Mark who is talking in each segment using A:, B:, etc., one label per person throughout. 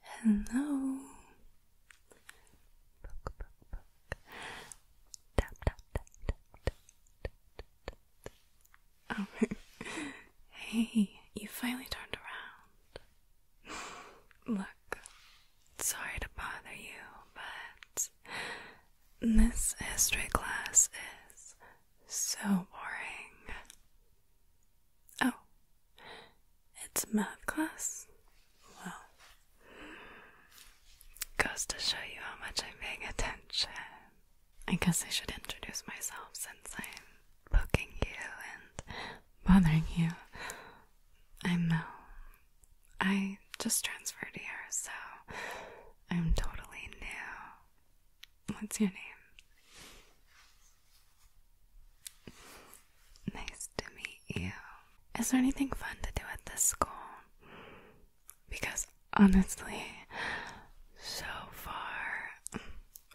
A: Hello. Tap, tap, tap, tap, tap, tap, oh, hey, you finally turned around. Look, sorry to bother you, but this history class is so boring. Oh, it's math class? Well, goes to show you how much I'm paying attention. I guess I should introduce myself since I'm poking you and bothering you. I'm Mel. I just transferred here, so I'm totally new. What's your name? Nice to meet you. Is there anything fun to do at this school? Because honestly, so far,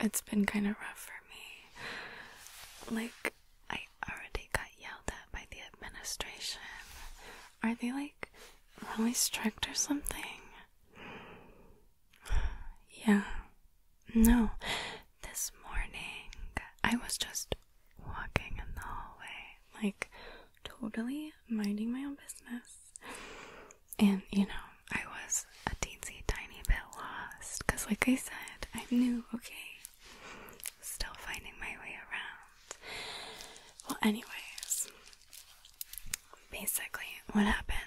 A: it's been kind of rough for me. Like, I already got yelled at by the administration. Are they like really strict or something? Yeah, no, this morning I was just walking in the hallway, like totally minding my own business. And, you know, I was a teensy tiny bit lost because, like I said, I'm new, okay? Still finding my way around. Well, anyways, basically, what happened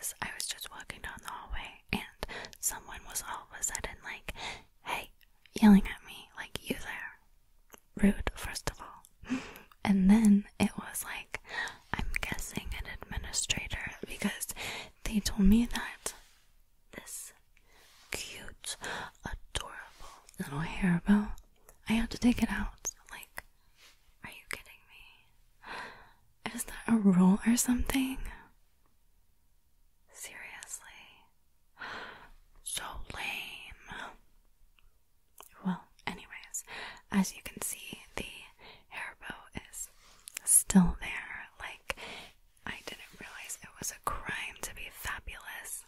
A: is I was just walking down the hallway and someone was all of a sudden like, hey, yelling at me, like, you there. Rude, first of all. And then it was like, I'm guessing an administrator because they told me that this cute, adorable little hair bow I have to take it out. Like, are you kidding me? Is that a rule or something? Seriously? So lame. Well, anyways, as you can see, the hair bow is still there. Like, I didn't realize it was a crime to be fabulous.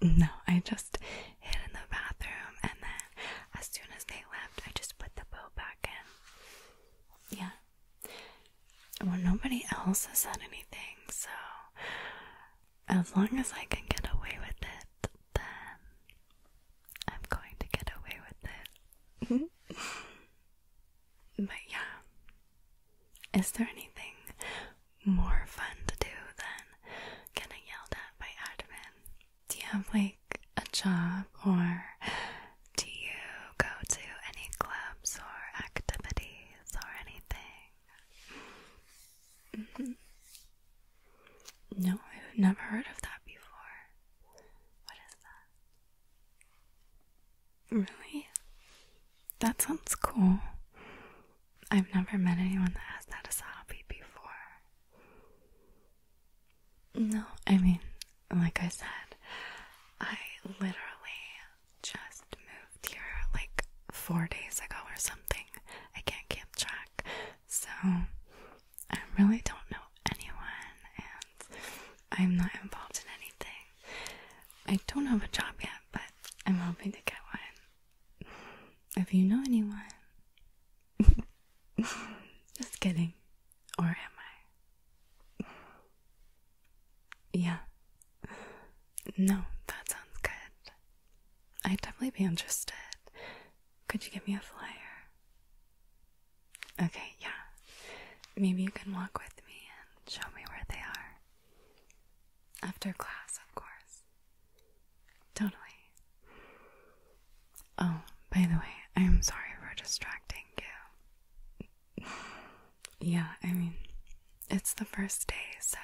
A: No, I just hid in the bathroom and then as soon as they left, I just put the bow back in. Yeah. Well, nobody else has said anything, so as long as I can get away with it, then I'm going to get away with it. but yeah. Is there anything more fun to do than getting yelled at by admin? Do you have like a job or do you go to any clubs or activities or anything? Mm-hmm. No, I've never heard of that before. What is that? Really? That sounds cool. I've never met anyone that has that as a hobby before. No, I mean, like I said, I literally just moved here like four days ago or something. I can't keep track. So, I really don't know anyone and I'm not involved in anything. I don't have a job yet, but I'm hoping to get one. If you know anyone, Just kidding. Or am I? Yeah. No, that sounds good. I'd definitely be interested. Could you give me a flyer? Okay, yeah. Maybe you can walk with me and show me where they are. After class, of course. Totally. Oh, by the way, I'm sorry for distracting you. yeah, I mean, it's the first day, so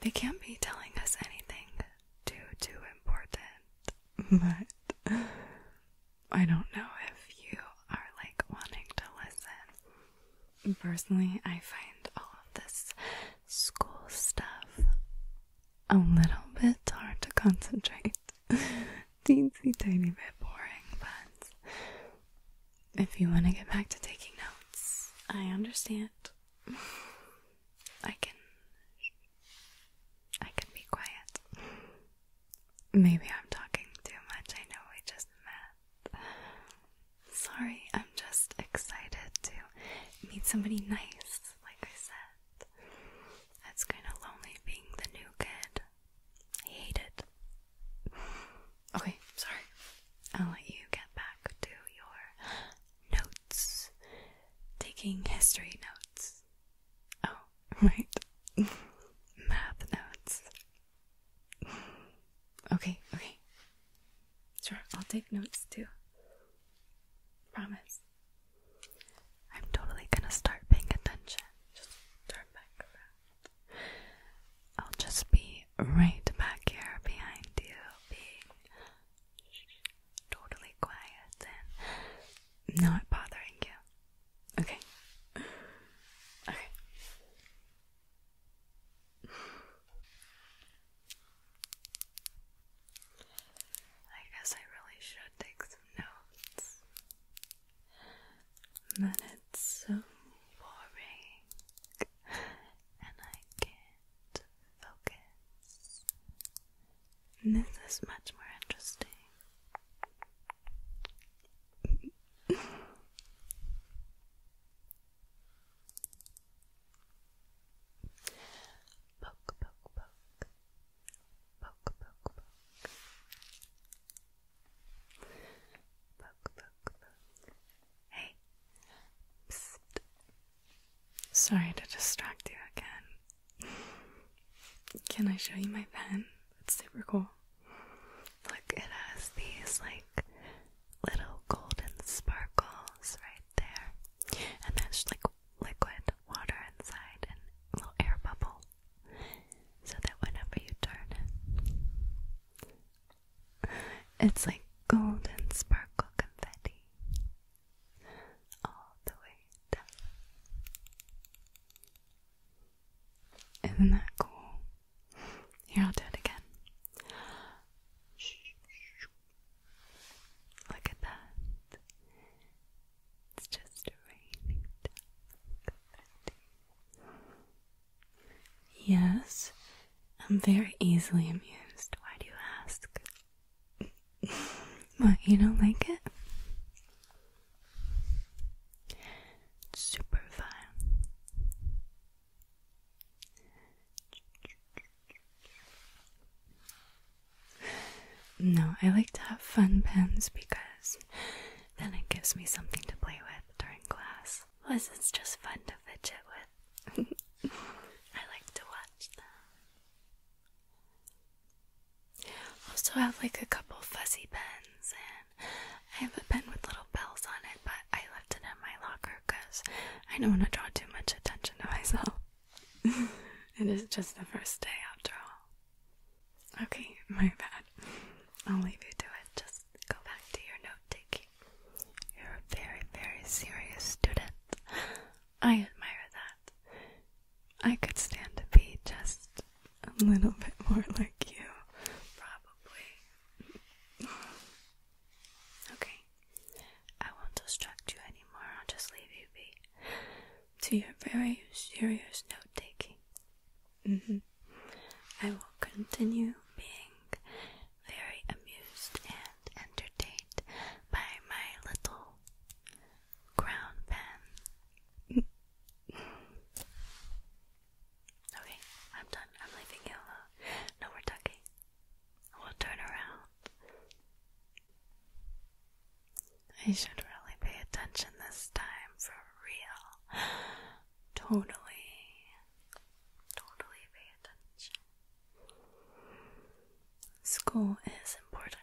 A: they can't be telling us anything too, too important. But I don't know if you are like wanting to listen. Personally, I find all of this school stuff a little bit hard to concentrate. teensy tiny bit boring, but if you want to get back to taking notes, I understand. I can I can be quiet. Maybe I'm talking too much. I know we just met. Sorry, I'm just excited to meet somebody nice, like I said. That's kind of lonely being the new kid. I hate it. Okay, sorry. I'll let you get back to your notes. Taking history notes. Oh, right. Math notes. Okay, okay. Sure, I'll take notes too. Promise. I'm totally gonna start paying attention. Just turn back around. I'll just be right back here behind you, being totally quiet and not bothering you. Okay. Okay. I guess I really should take notes but it's so boring and I can't focus. this is much more interesting. poke, poke, poke poke, poke, poke, poke, poke, poke. Hey, sorry to distract you again. Can I show you my pen? It's super cool. Look, it has these like little golden sparkles right there and there's like liquid water inside and little air bubble so that whenever you turn it's like golden sparkle confetti all the way down. Isn't that cool? Here, I'll do it again. Look at that. It's just raining Yes, I'm very easily amused. Why do you ask? what, you don't like it? super fine. No, I like to have fun pens because then it gives me something to play with during class. Plus, it's just fun to fidget with. I like to watch them. Also, have like a couple fussy pens, and I have a pen with little bells on it, but I left it in my locker because I don't want to draw too much attention to myself. it is just the first day after all. Okay, my bad. I'll leave you to it. Just go back to your note taking. You're a very, very serious student. I admire that. I could stand to be just a little bit more like you, probably. okay, I won't distract you anymore. I'll just leave you be to your very serious note taking. Mm-hmm. I will continue being very amused and entertained by my little crown pen. okay, I'm done. I'm leaving you alone. No, we talking. We'll turn around. I should really pay attention this time for real. Totally, totally pay attention. School is important.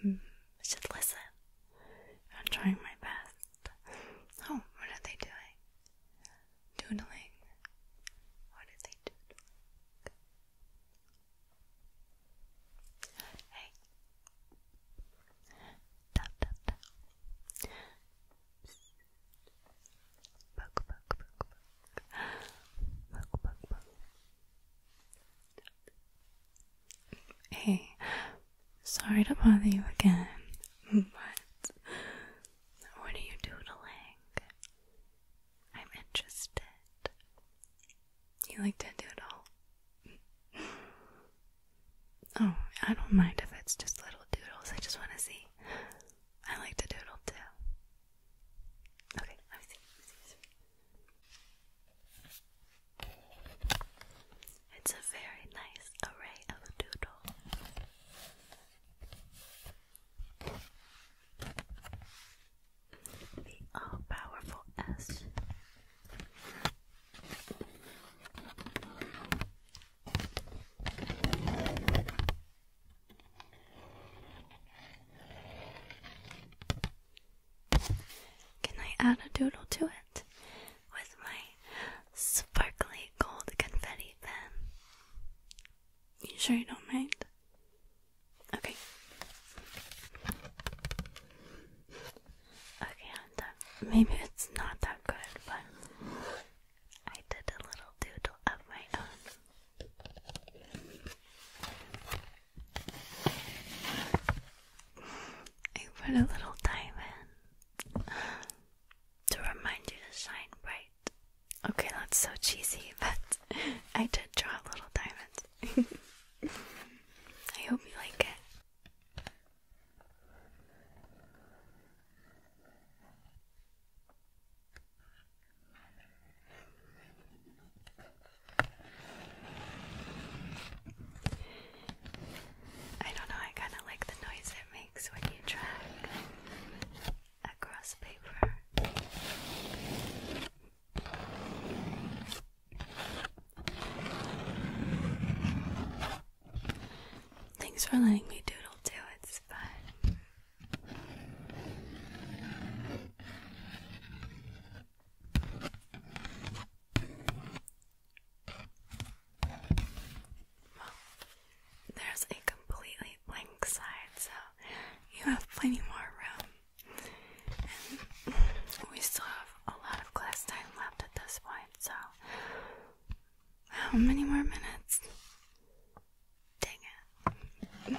A: Hmm, I should listen. I'm trying my best. Oh, what are they doing? Doodling. What are they doodling? Hey. Tap tap tap. Psst. Poke poke poke poke. Poke poke Hey. Sorry to bother you again, but what are you doodling? I'm interested. You like to doodle? oh, I don't mind if it's just little doodles. I just want to see. I like to doodle too. Okay, let me see. It's a very nice array of doodles. The all powerful S. Can I add a doodle to it with my sparkly gold confetti pen? You sure you don't mind? Okay. Okay, Maybe it's not that good, but I did a little doodle of my own. I put a little diamond uh, to remind you to shine bright. Okay, that's so cheesy, but I did draw a little diamond. I hope you like it. I don't know, I kind of like the noise it makes when you track across paper. Thanks for letting me doodle too, it's fun. there's a completely blank side, so you have plenty more room. And we still have a lot of class time left at this point, so how um, many more minutes? Dang it.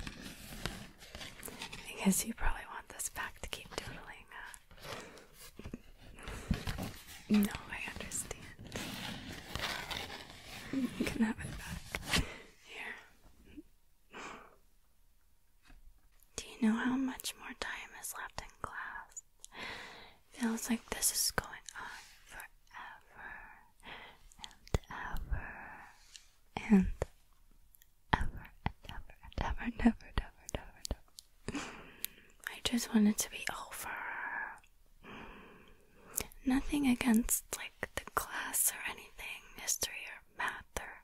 A: I guess you probably want this back to keep doodling. Uh, no, I understand. You can have it back. Here. Do you know how much more time is left in class? Feels like this is going on forever and ever and ever and ever and ever and ever and I just want it to be over. Nothing against like the class or anything, history or math or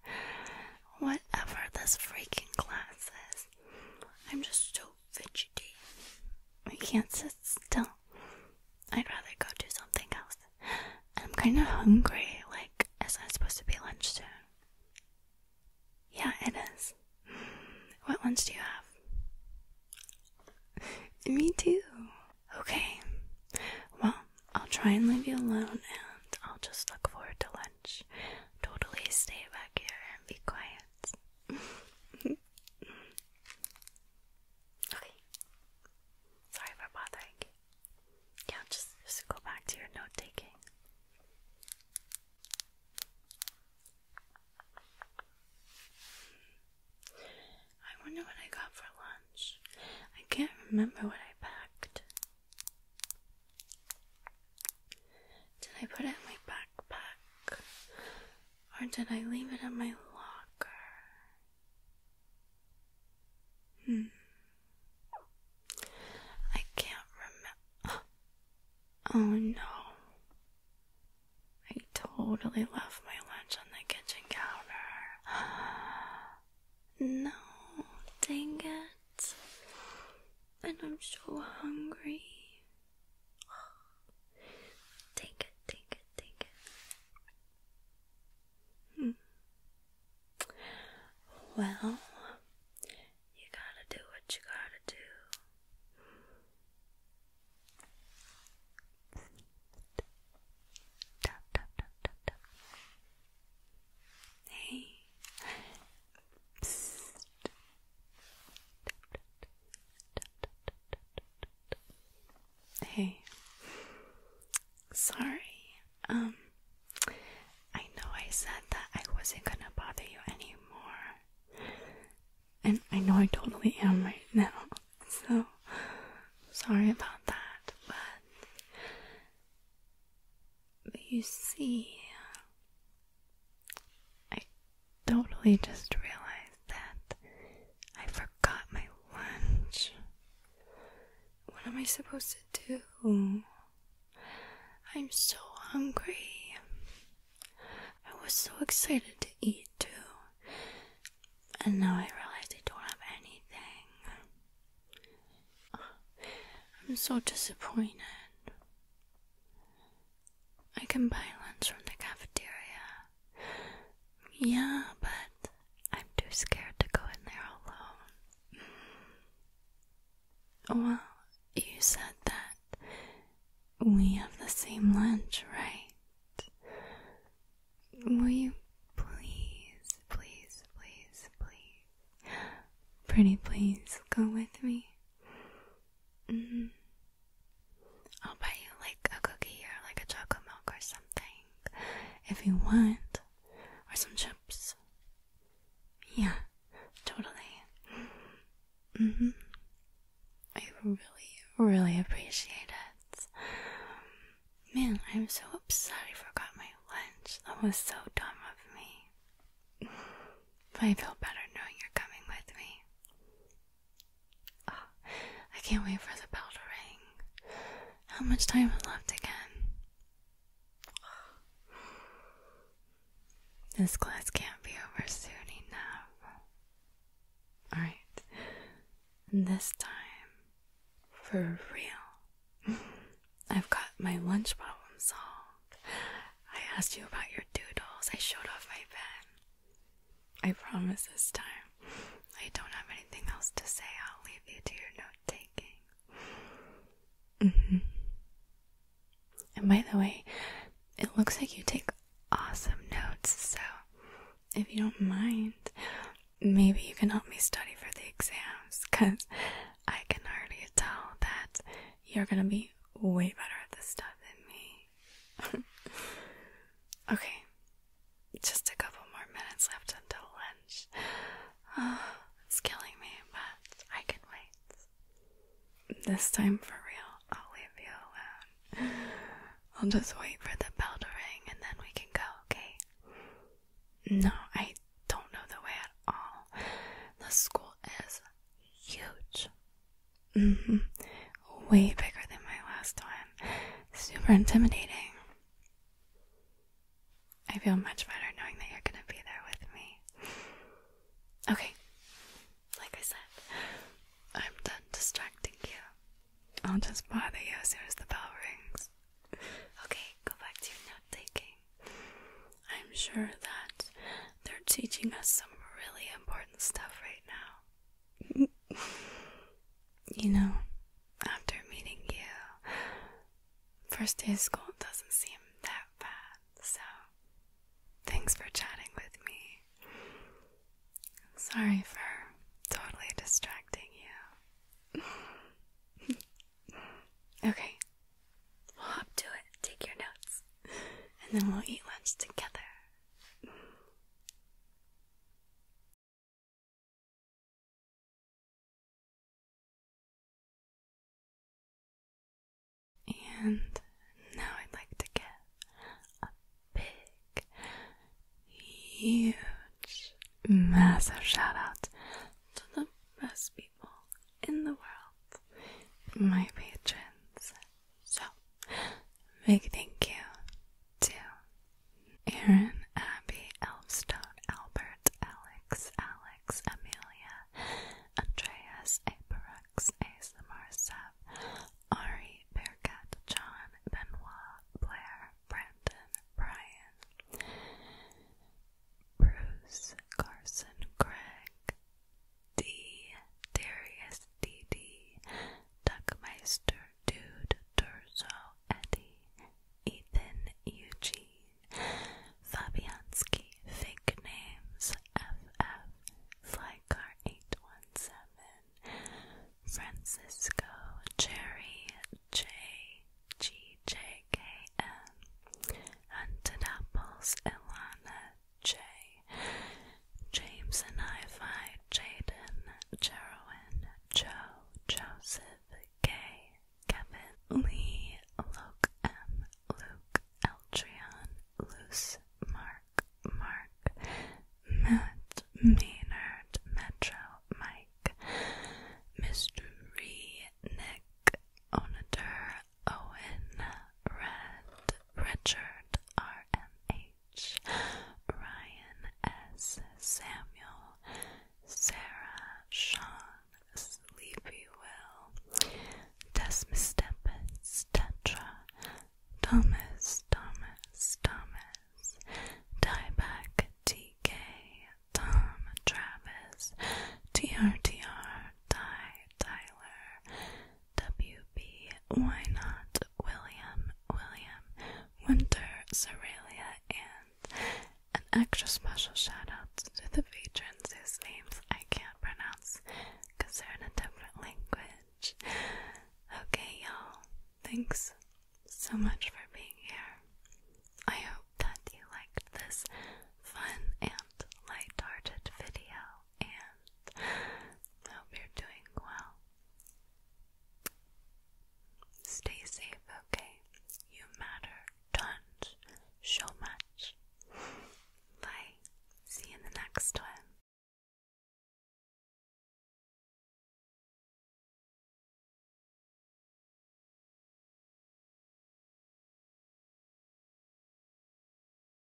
A: whatever this freaking class is. I'm just so fidgety. I can't sit still I'd rather go do something else. I'm kind of hungry. Like, it's not supposed to be lunch soon. Yeah, it is. What lunch do you have? Me too. Okay. Well, I'll try and leave you alone and I'll just look forward to lunch. Totally stay back here and be quiet. Okay. Sorry for bothering Yeah, just, just go back to your note taking. Hmm. I wonder what I got for lunch. I can't remember what I packed. Did I put it in my backpack? Or did I leave it in my locker? Hmm. I can't remember. Oh no. I totally left my lunch on the kitchen counter. No, dang it. And I'm so hungry take it, take it, take it. Hmm. Well, you gotta do what you gotta do. Hey. Hey. Sorry. Um I know I said that I wasn't gonna bother you anymore. And I know I totally am right now. So sorry about that, but you see I totally just realized that I forgot my lunch. What am I supposed to do? I'm so hungry. I was so excited to eat too. And now I realize I don't have anything. I'm so disappointed. I can buy lunch from the cafeteria. Yeah, but I'm too scared to go in there alone. Well, you said that we have the same lunch, right? Will you please, please, please, please, pretty please, go with me? -hmm. I'll buy you like a cookie or like a chocolate milk or something if you want, or some chips. Yeah, totally. Mm-hmm. I really, really appreciate it. Man, I'm so upset I forgot my lunch. That was so dumb of me. But I feel better knowing you're coming with me. I can't wait for the bell to ring. How much time is left again? This class can't be over soon enough. Alright, this time, for real, I've got my lunch problem solved. I asked you about your doodles, I showed off my pen. I promise this time I don't have anything else to say. I'll leave you to your note taking. Mm-hmm. And by the way, it looks like you take awesome notes, so if you don't mind, maybe you can help me study for the exams, because I can already tell that you're gonna be way better at this stuff than me. okay, just a couple more minutes left until lunch. it's killing me, but I can wait. This time for real, I'll leave you alone. I'll just wait for the bell to ring and then we can go, okay? No, I don't know the way at all. The school is huge. Mm -hmm. Way bigger than my last one. Super intimidating. I feel much better knowing that you're gonna be there with me. Okay, like I said, I'm done distracting you. I'll just bother you as soon as the bell rings. Okay, go back to your note taking. I'm sure that they're teaching us some really important stuff right now you know, after meeting you, first day of school doesn't seem that bad, so thanks for chatting with me. Sorry for totally distracting you. okay, we'll hop to it, take your notes, and then we'll eat lunch together. And now I'd like to give a big, huge, massive shout out to the best people in the world, my patrons so, big thank you to Aaron, Abby, Elfstone, Albert, Alex, Alex, Amelia, Andreas, Aperex, ASMR Seb, Ari, Bearcat, John, Benoit, Blair, Brandon, Brian, Bruce, Carson, Greg, D. Darius D. D. Duckmeister Dude Turzo Eddie Ethan Eugene Fabianski Fake Names FF Flycar 817 Francisco Cherry J G J K M Hunted Apples Ilana J. James and I Jaden, Jerwin. Joe, Joseph, Kay, Kevin, Lee, Luke M, Luke, Eltrion, Loose. Mark, Mark, Matt, Maynard, Metro, Mike, Mystery, Nick, Onator, Owen, Red, Richard RMH, Ryan S. Samuel, Sarah Sean, Sleepy Will, Desmus Tempest, Tetra, Thomas, Thomas, Thomas, Dieback TK, Tom Travis, TRTR, Ty Tyler, W.B. not William William Winter, Cerealia, and an extra special shout out to the patrons whose names I can't pronounce because they're in a different language. Okay, y'all, thanks so much for being here. I hope that you liked this fun and light-hearted video. I hope you're doing well. Stay safe, okay? You matter tons, so much. Bye. See you in the next one.